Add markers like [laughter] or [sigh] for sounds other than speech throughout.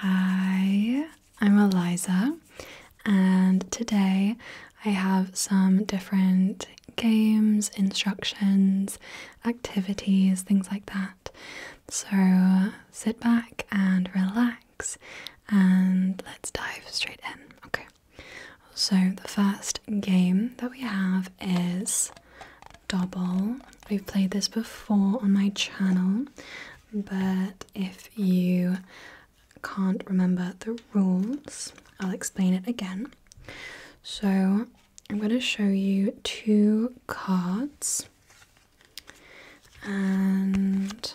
Hi, I'm Eliza, and today I have some different games, instructions, activities, things like that. So sit back and relax, and let's dive straight in. Okay, so the first game that we have is double. We've played this before on my channel, but if you can't remember the rules, I'll explain it again. So, I'm going to show you two cards, and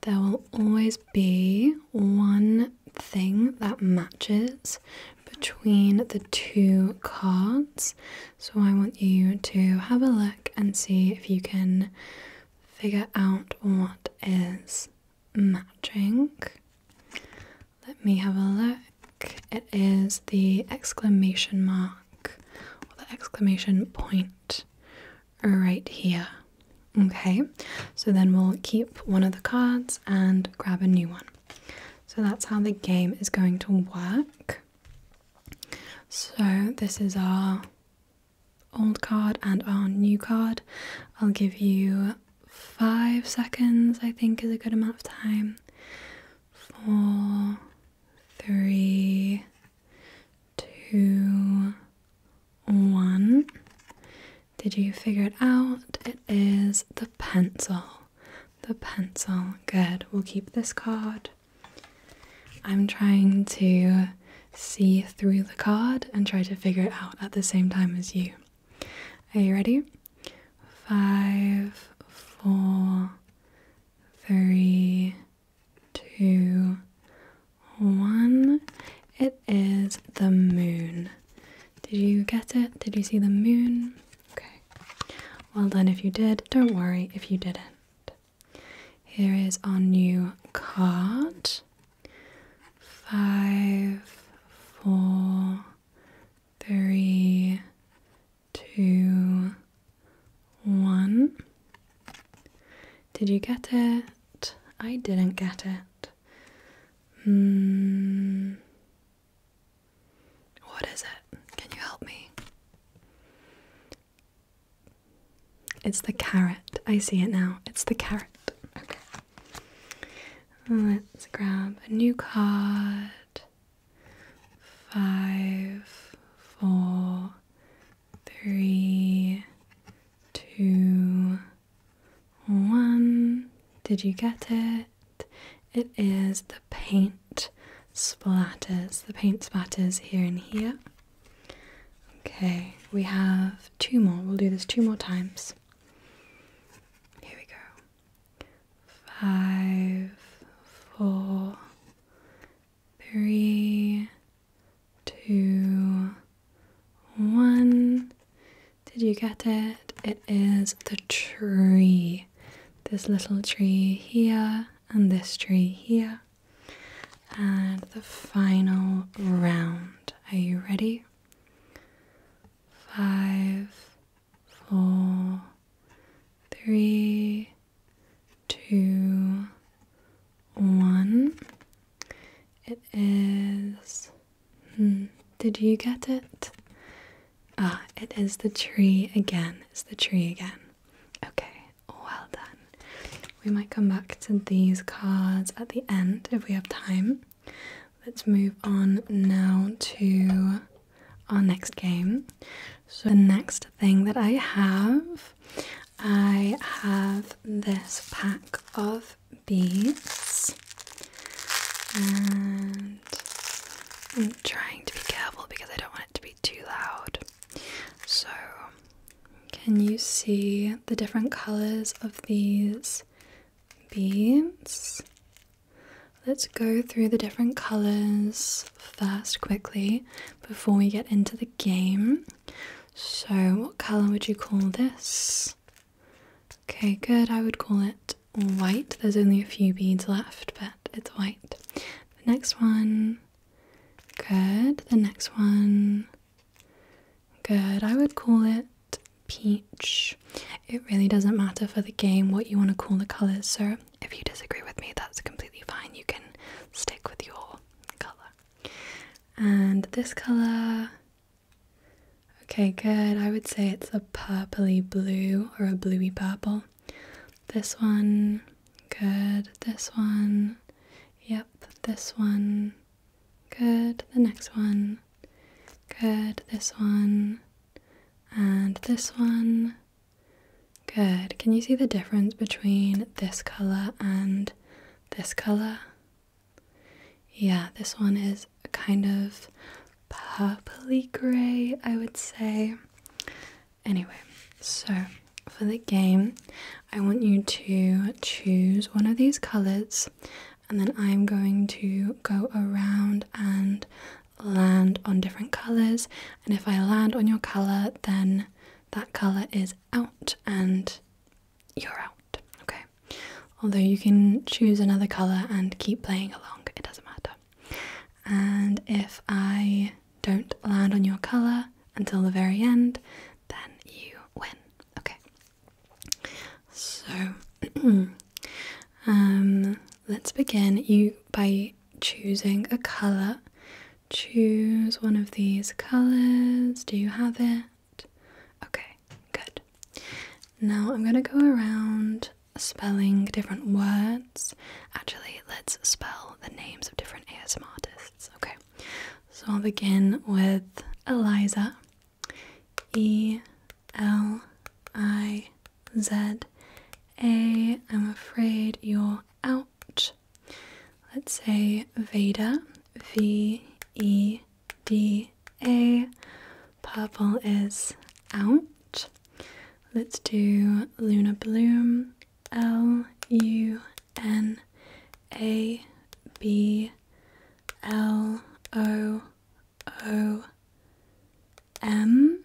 there will always be one thing that matches between the two cards. So I want you to have a look and see if you can figure out what is matching. Let me have a look. It is the exclamation mark or the exclamation point right here. Okay, so then we'll keep one of the cards and grab a new one. So that's how the game is going to work. So this is our old card and our new card. I'll give you five seconds, I think, is a good amount of time. Four, three, two, one. Did you figure it out? It is the pencil the pencil. Good. We'll keep this card. I'm trying to see through the card and try to figure it out at the same time as you. Are you ready? Five, four, three, two, one. It is the moon. Did you get it? Did you see the moon? Okay. Well then, if you did. Don't worry if you didn't. Here is our new card. Five, four, three, two, one. Did you get it? I didn't get it. Mm, what is it? Can you help me? It's the carrot. I see it now. It's the carrot. Okay. Let's grab a new card. Five, four, three, two, one. Did you get it? it is the paint splatters. The paint splatters here and here. Okay, we have two more. We'll do this two more times. Here we go. Five, four, three, two, one. Did you get it? It is the tree. This little tree here, and this tree here. And the final round. Are you ready? Five, four, three, two, one. It is Hmm, did you get it? Ah, it is the tree again. It's the tree again. Okay, well done. We might come back to these cards at the end if we have time. Let's move on now to our next game. So, the next thing that I have, I have this pack of beads. And I'm trying to be careful because I don't want it to be too loud. So, can you see the different colors of these beads? Let's go through the different colors first quickly before we get into the game. So, what color would you call this? Okay, good. I would call it white. There's only a few beads left, but it's white. The next one, good. The next one, good. I would call it peach. It really doesn't matter for the game what you want to call the colours, so if you disagree with me, that's completely fine. You can stick with your colour. And this colour, Okay, good. I would say it's a purpley blue or a bluey purple. This one, good. This one, yep. This one, good. The next one, good. This one, and this one, good. Can you see the difference between this color and this color? Yeah, this one is kind of purpley gray, I would say. Anyway, so for the game, I want you to choose one of these colors, and then I'm going to go around and land on different colors. And if I land on your color, then that color is out, and you're out, okay? Although you can choose another color and keep playing along, it doesn't matter. And if I don't land on your color until the very end, then you win, okay? So, [clears throat] um, let's begin you by choosing a color. Choose one of these colors. Do you have it? Okay, good. Now I'm going to go around spelling different words. Actually, let's spell the names of different ASM artists. Okay, so I'll begin with Eliza. E L I Z A. I'm afraid you're out. Let's say Veda. V E D A. Purple is out. Let's do Luna Bloom. L U N A B L O O M.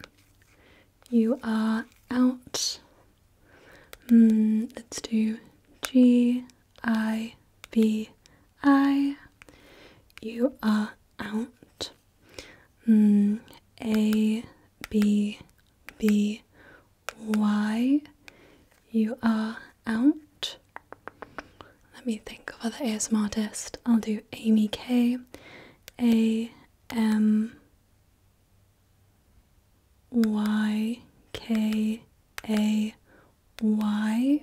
You are out. Mm, let's do G I B I you are out M mm, A B B Y, you are out let me think of other ASMR artists I'll do Amy K A M Y K A why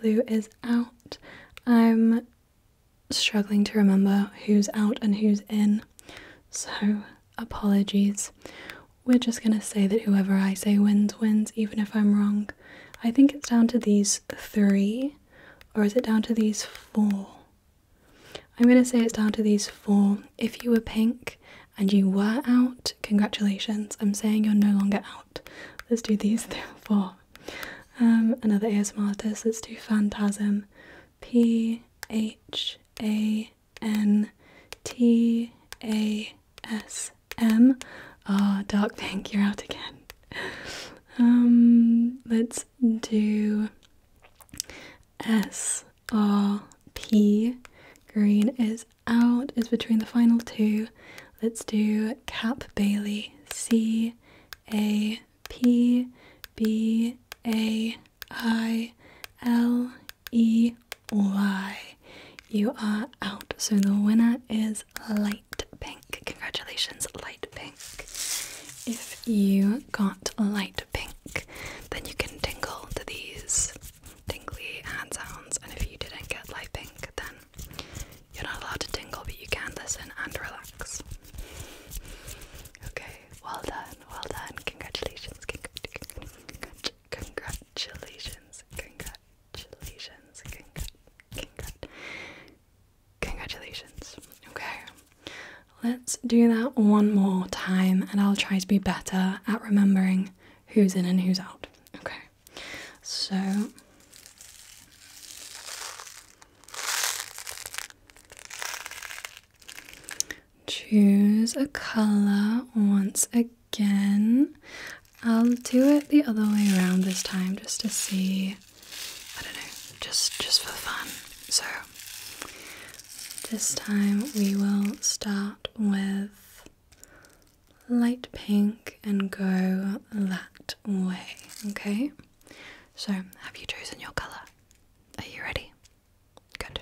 blue is out. I'm struggling to remember who's out and who's in, so apologies. We're just gonna say that whoever I say wins, wins, even if I'm wrong. I think it's down to these three, or is it down to these four? I'm gonna say it's down to these four. If you were pink and you were out, congratulations, I'm saying you're no longer out. Let's do these [laughs] four. Um, another ASMR artist. Let's do Phantasm. P H A N T A S M. Ah, Dark [laughs] Pink, you're out again. Um, let's do S R P. Green is out is between the final two. Let's do Cap Bailey. C A P B A I L E Y. You are out. So the winner is light pink. Congratulations, light pink. If you got light pink, then you can tingle to these tingly hand sounds, and if you didn't get light pink, then you're not allowed to tingle, but you can listen and relax. Okay, well done, well done. Congratulations, congratulations, congratulations, congratulations, congratulations. Okay, let's do that one more time, and I'll try to be better at remembering who's in and who's out. Okay. So choose a color once again. I'll do it the other way around this time just to see I don't know, just just for fun. So this time we will start with light pink and go that way, okay? So, have you chosen your colour? Are you ready? Good.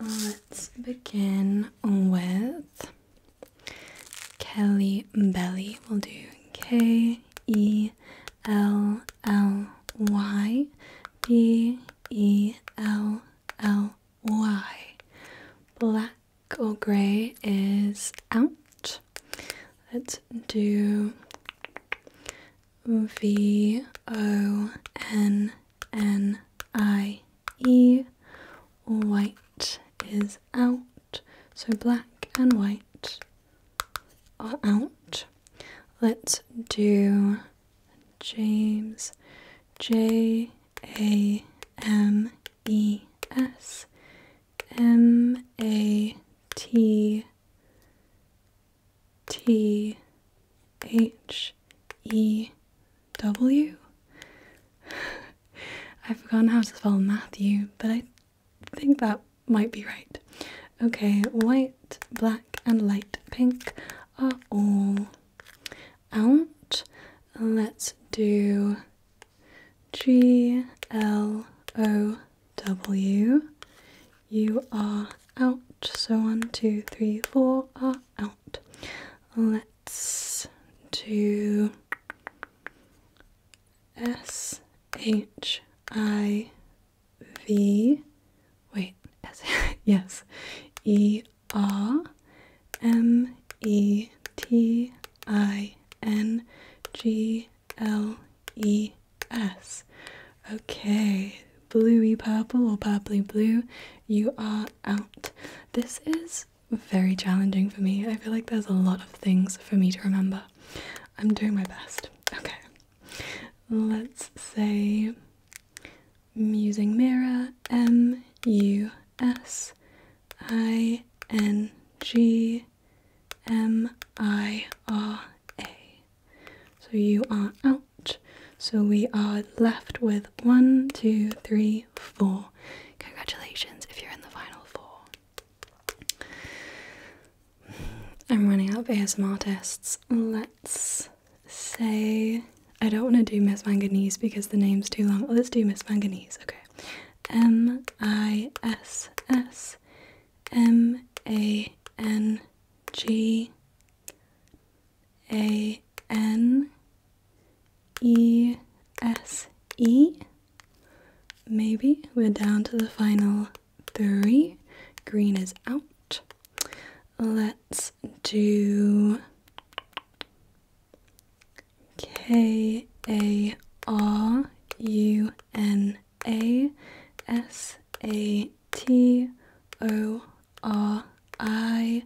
Let's begin with Kelly Belly. We'll do K E L L Y B E L L Y. Black or grey is out. Let's do V O N N I E. White is out. So black and white are out. Let's do James J a M E S M A T T H E W. [laughs] I've forgotten how to spell Matthew, but I think that might be right. Okay, white, black, and light pink are all out. Let's do G L O W. You are out. So one, two, three, four are out. Let's do S H I V. Wait, S [laughs] yes, E R M E T I N G L E S. Okay, bluey purple or purpley blue, you are out. This is very challenging for me. I feel like there's a lot of things for me to remember. I'm doing my best. Okay, let's say Musing Mira, M U S I N G M I R A. So you are out. So we are left with one, two, three, four. Congratulations if you're in the final four. I'm running out of ASMR tests. Let's say I don't want to do Miss Manganese because the name's too long. Let's do Miss Manganese. Okay. M I S S M A N G A N E S E. Maybe we're down to the final three. Green is out. Let's do K A R U N A S A T O R I.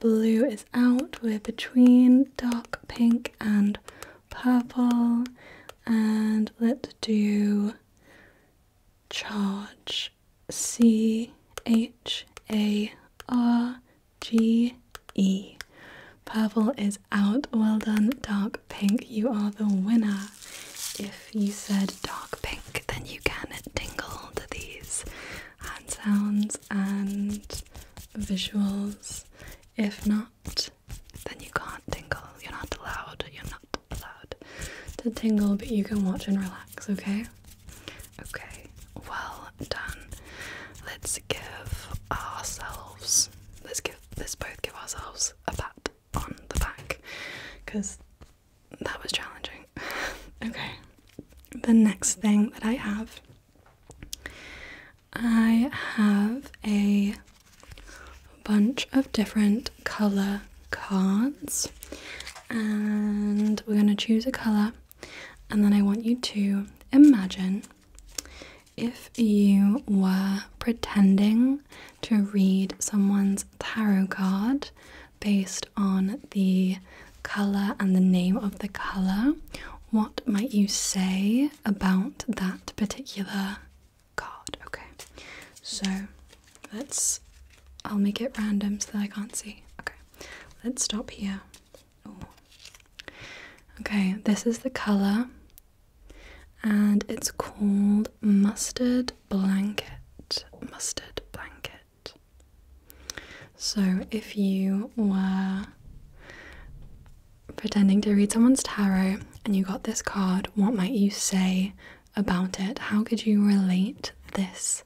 Blue is out. We're between dark pink and purple. And let's do charge. C H A R G E. Purple is out. Well done, dark pink. You are the winner. If you said dark pink, then you can tingle to these sounds and visuals. If not, then you can't tingle. You're not allowed. You're not allowed to tingle, but you can watch and relax, okay? Okay, well done. Let's give ourselves, let's give, let's both give ourselves a pat on the back because that was challenging. [laughs] okay, the next thing that I have, I have a bunch of different color cards and we're going to choose a color and then I want you to imagine if you were pretending to read someone's tarot card based on the color and the name of the color, what might you say about that particular card? Okay, so Let's. I'll make it random so that I can't see. Okay. Let's stop here. Okay, this is the color, and it's called Mustard Blanket. Mustard Blanket. So, if you were pretending to read someone's tarot and you got this card, what might you say about it. How could you relate this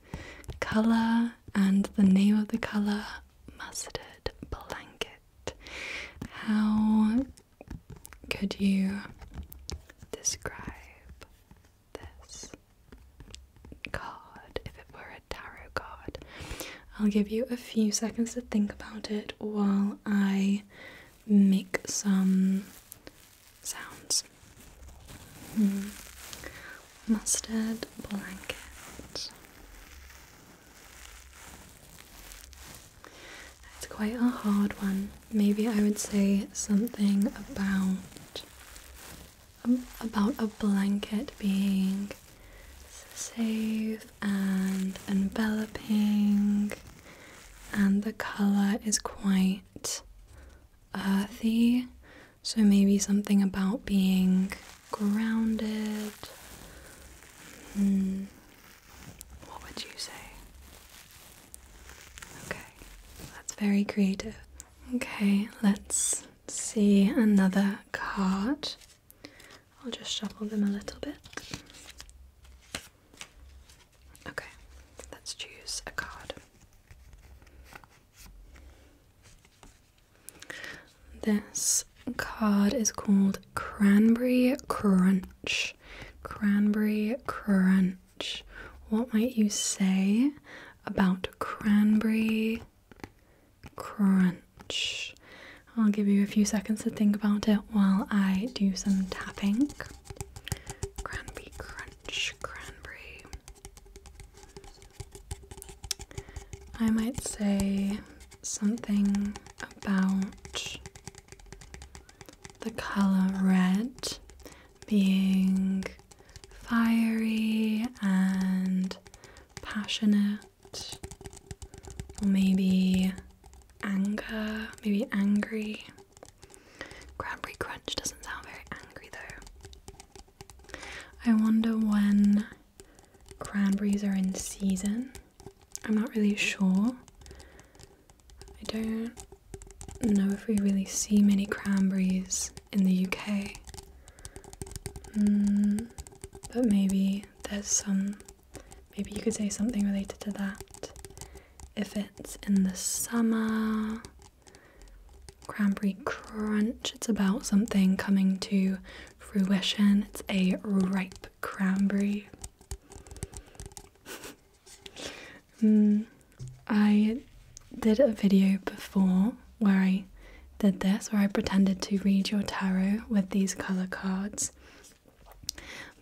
color and the name of the color mustard blanket? How could you describe this card if it were a tarot card? I'll give you a few seconds to think about it while I make some sounds. Mm. Mustard blanket. It's quite a hard one. Maybe I would say something about um, about a blanket being safe and enveloping and the color is quite quite earthy, so maybe something about being grounded. Hmm. What would you say? Okay, that's very creative. Okay, let's see another card. I'll just shuffle them a little bit. Okay, let's choose a card. This card is called Cranberry Crunch. Cranberry Crunch. What might you say about Cranberry Crunch? I'll give you a few seconds to think about it while I do some tapping. Cranberry crunch cranberry. I might say something about the color red being fiery and passionate, or maybe anger, maybe angry. Cranberry crunch doesn't sound very angry though. I wonder when cranberries are in season. I'm not really sure. I don't know if we really see many cranberries in the UK. Mm, but maybe there's some. Maybe you could say something related to that if it's in the summer. Cranberry Crunch, it's about something coming to fruition. It's a ripe cranberry. [laughs] Hmm, I did a video before where I did this, where I pretended to read your tarot with these color cards.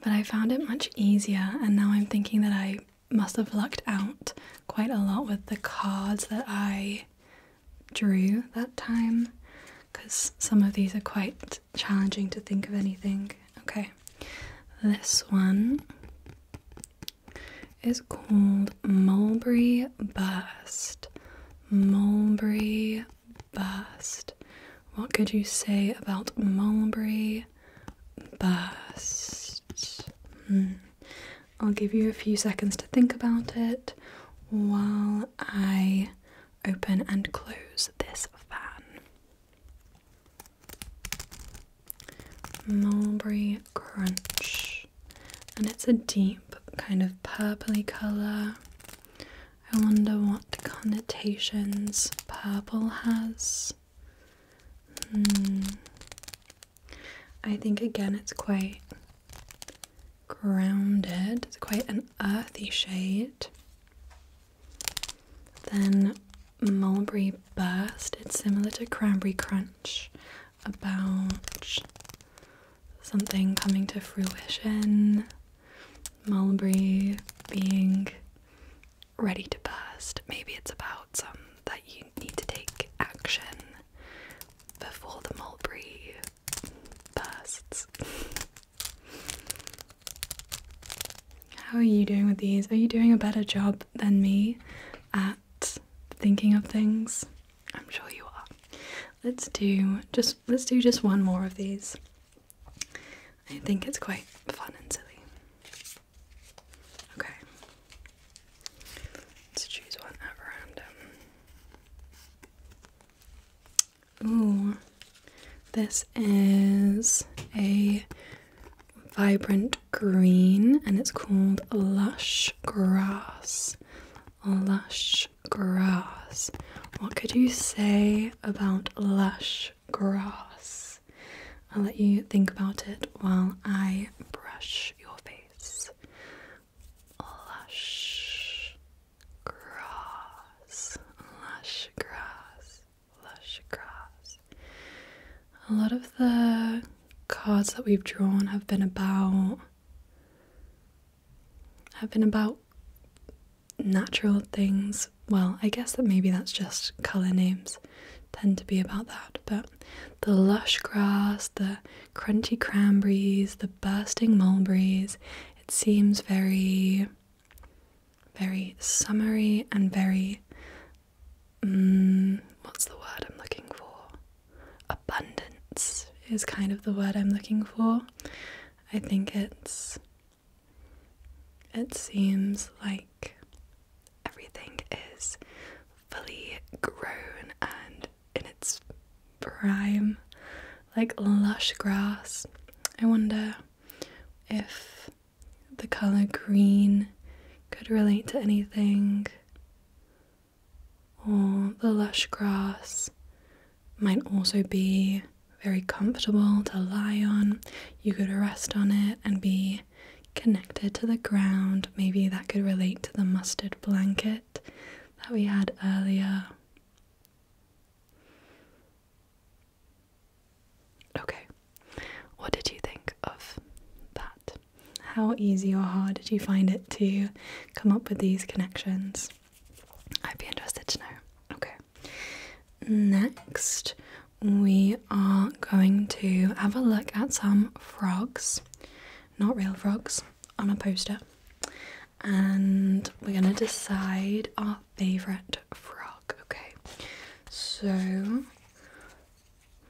But I found it much easier, and now I'm thinking that I must have lucked out quite a lot with the cards that I drew that time because some of these are quite challenging to think of anything. Okay, this one is called Mulberry Bust. Mulberry Bust. What could you say about Mulberry but hmm. I'll give you a few seconds to think about it while I open and close this fan. Mulberry Crunch, and it's a deep kind of purply colour. I wonder what connotations purple has. Hmm. I think again it's quite grounded, it's quite an earthy shade. Then Mulberry Burst, it's similar to Cranberry Crunch about something coming to fruition, mulberry being ready to burst. Maybe it's about some that you need to take action before the mulberry bursts. How are you doing with these? Are you doing a better job than me at thinking of things? I'm sure you are. Let's do just let's do just one more of these. I think it's quite fun and silly. Okay. Let's choose one at random. Ooh. This is a vibrant green and it's called lush grass. Lush grass. What could you say about lush grass. I'll let you think about it while I brush your face. Lush grass, lush grass, lush grass. A lot of the cards that we've drawn have been about have been about natural things. Well, I guess that maybe that's just colour names tend to be about that, but the lush grass, the crunchy cranberries, the bursting mulberries, it seems very, very summery and very, um, what's the word I'm looking for? Abundance is kind of the word I'm looking for. I think it's it seems like everything is fully grown and in its prime, like lush grass. I wonder if the color green could relate to anything, or the lush grass might also be very comfortable to lie on. You could rest on it and be connected to the ground. Maybe that could relate to the mustard blanket that we had earlier. Okay, what did you think of that? How easy or hard did you find it to come up with these connections? I'd be interested to know. Okay. Next, we are going to have a look at some frogs, not real frogs, on a poster, and we're going to decide our favourite frog. Okay, so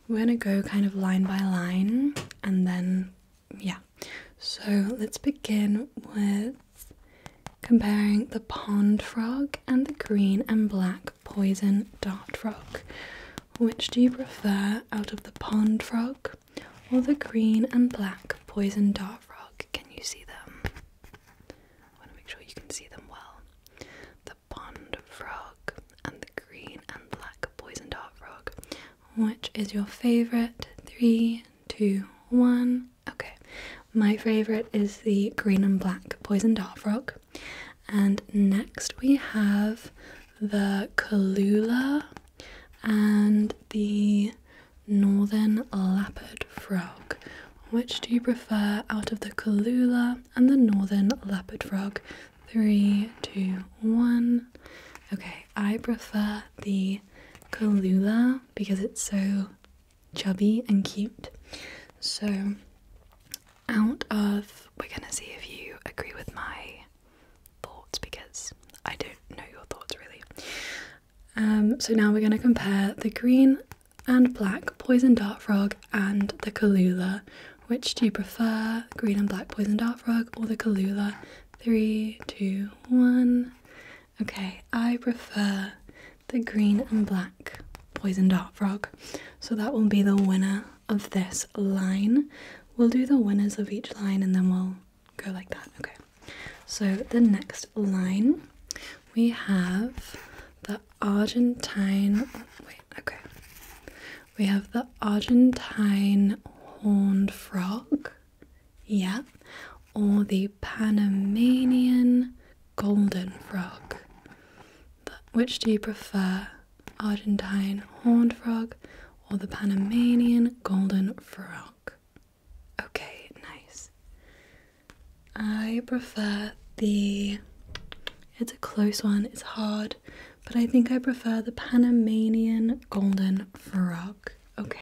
we're going to go kind of line by line and then, yeah. So let's begin with comparing the pond frog and the green and black poison dart frog. Which do you prefer out of the pond frog or the green and black poison dart frog? Can you see them? I want to make sure you can see them well. The pond frog and the green and black poison dart frog. Which is your favorite? Three, two, one. Okay, my favourite is the green and black poison dart frog, and next we have the Kalula and the northern leopard frog. Which do you prefer out of the Kalula and the northern leopard frog? Three, two, one. Okay, I prefer the Kalula because it's so chubby and cute. So, out of we're gonna see if you agree with my thoughts because I don't know your thoughts really. Um, so now we're gonna compare the green and black poison dart frog and the Kalula. Which do you prefer, green and black poison dart frog or the Kalula? Three, two, one. Okay, I prefer the green and black poison dart frog. So that will be the winner of this line. We'll do the winners of each line and then we'll go like that. Okay. So the next line we have the Argentine wait, okay. We have the Argentine horned frog yeah, or the Panamanian golden frog. But which do you prefer, Argentine horned frog or the Panamanian golden frog? Okay, nice. I prefer the. It's a close one, it's hard, but I think I prefer the Panamanian golden frog. Okay.